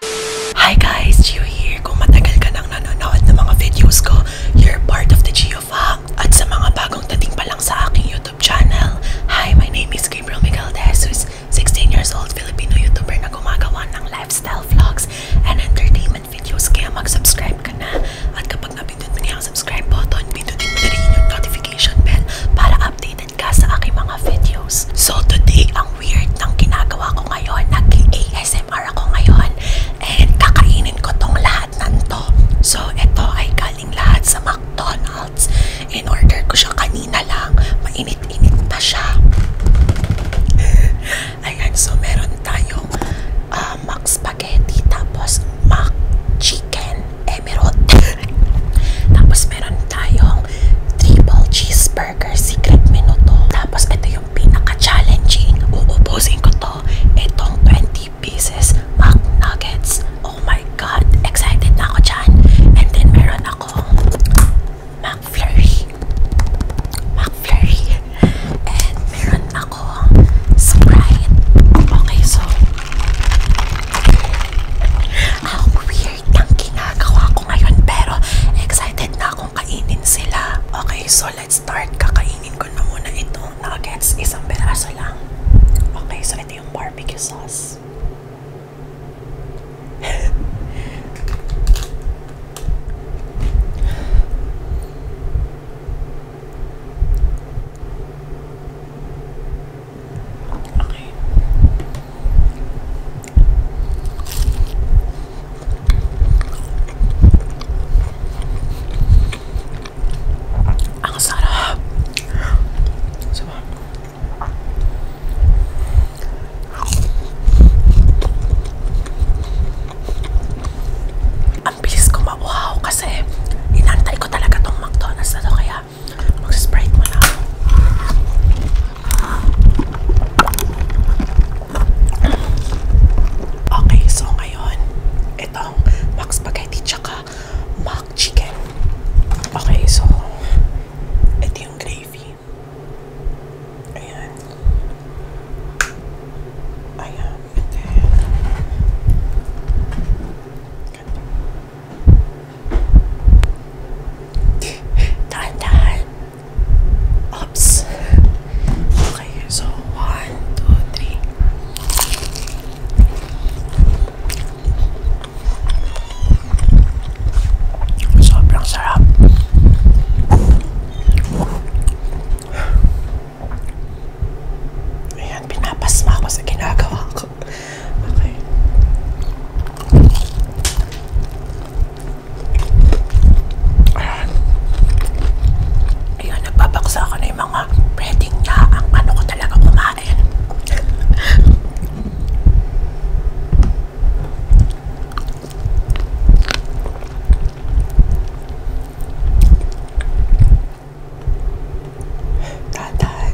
Hi guys, Gio here. Kung matagal ka nang nanonood ng mga videos ko, you're part of the Gio fam. At sa mga bagong dating pa lang sa aking YouTube channel, hi, my name is Gabriel Miguel de Jesus, 16 years old Filipino YouTuber na gumagawa ng lifestyle vlogs and entertainment videos. Kaya mag-subscribe ka na. At kapag napindot mo niya ang subscribe button, pindutin mo na rin yung notification bell para updated ka sa aking mga videos. So today, ang weird ng ginagawa ko ngayon. Nag-ASMR ako ngayon. And kakainin ko tong lahat nanto. So, ito ay galing lahat sa McDonald's. In order ko siya kanina lang. Mainit-init pa siya. Ayan, so meron tayong uh, Mac Spaghetti. Tapos Mac Chicken Emerald. tapos meron tayong triple cheeseburger secret menu to. Tapos ito yung pinaka-challenging. Uubusin ko to. Itong 20 pieces McNuggets. Oh my God! Excited na ako dyan. And then meron akong McFlurry. McFlurry. And meron ako Sprite. Okay, so... How weird. dessert ang ginagawa ko ngayon pero excited na akong kainin sila. Okay, so let's start. Kakainin ko na muna itong nuggets. Isang peraso lang. Okay, so ito yung barbecue sauce. Okay. Ang sarap. Diba? Ang bilis ko mauhaw kasi inantay ko talaga tong McDonald's na to kaya Magsispray mo na ako. Okay, so ngayon, itong mac spaghetti tsaka mac chicken. Okay, so ito yung gravy. Ayan. Ayan. And then, ganito. Dahan-dahan. Oops. Okay, so one, two, three. Sobrang sarap. Ayan, pinapasma ko sa ginagawa ko. ako. Okay. Ayan. Ayan, nagbabaksa ako na yung mga pwedeng na ang ano ko talaga kumain. Tatay.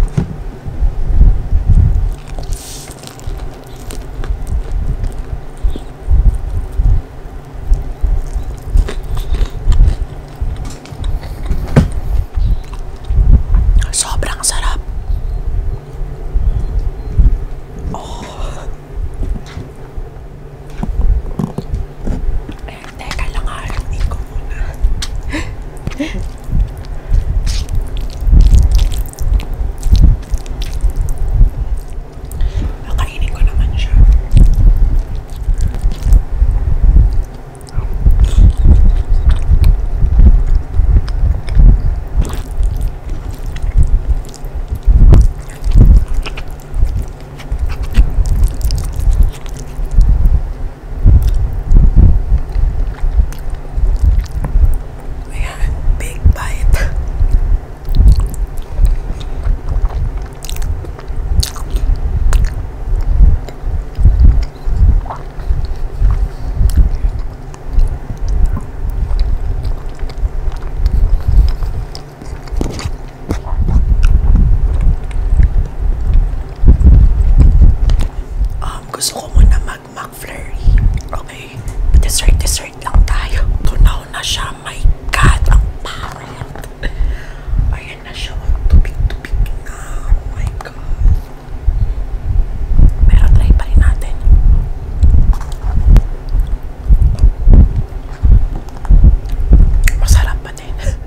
Sobrang sarap. Oh. Eh, teka lang ha, ah, hindi ko muna. Nakainin ko naman siya. We had a big bite. Um, gusto ko muna mag Mac McFlurry. Okay? Dessert-dessert lang tayo. Tunaw na siya. My God! Ang parang. Ayan na siya. Oh, tubig-tubig na. Oh my God. Pero try pa rin natin. Masarap pa din.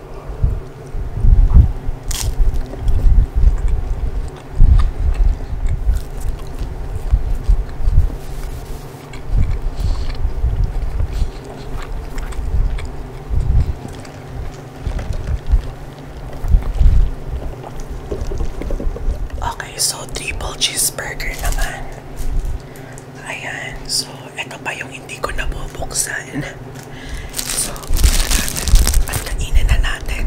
Okay, so triple cheeseburger naman. Ayan. So, ito pa yung hindi ko nabubuksan. So, pagkainin na natin.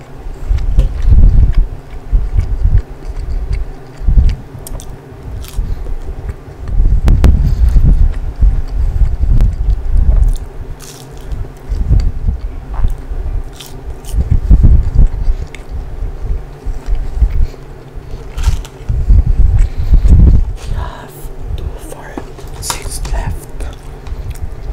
We have two, four, six left.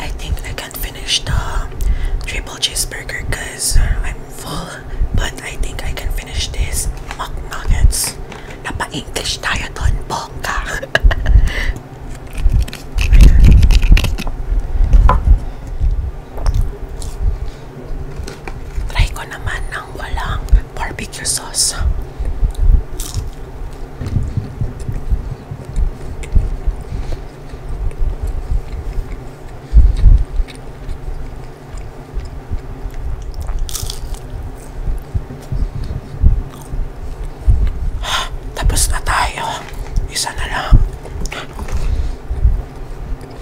I think I can finish the triple cheeseburger because I'm full, but I think I can finish this mock nuggets. Napa-English tayo doon, Try ko naman ng walang barbecue sauce. Tapos na tayo. Isa na lang.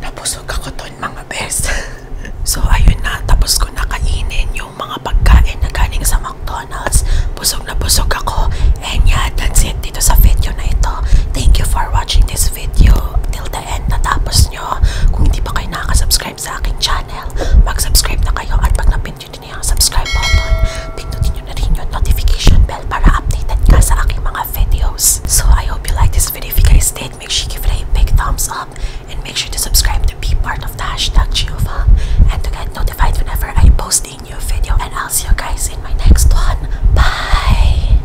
Napusog ako doon mga best. so ayun na, tapos ko nakainin yung mga pagkain na galing sa McDonald's. Busog na busog ako. And yeah, that's it dito sa video na ito. Thank you for watching this video. Till the end, natapos nyo. Kung hindi pa kayo nakasubscribe sa aking channel, mag-subscribe na kayo at pag napindot nyo yung subscribe button, pindutin nyo na rin yung notification bell para updated ka sa aking mga videos. So, I hope you like this video. If you guys did, make sure you give it a big thumbs up and make sure to subscribe to be part of the hashtag Giova and to get notified whenever I post a new video and I'll see you guys in my next one. Bye!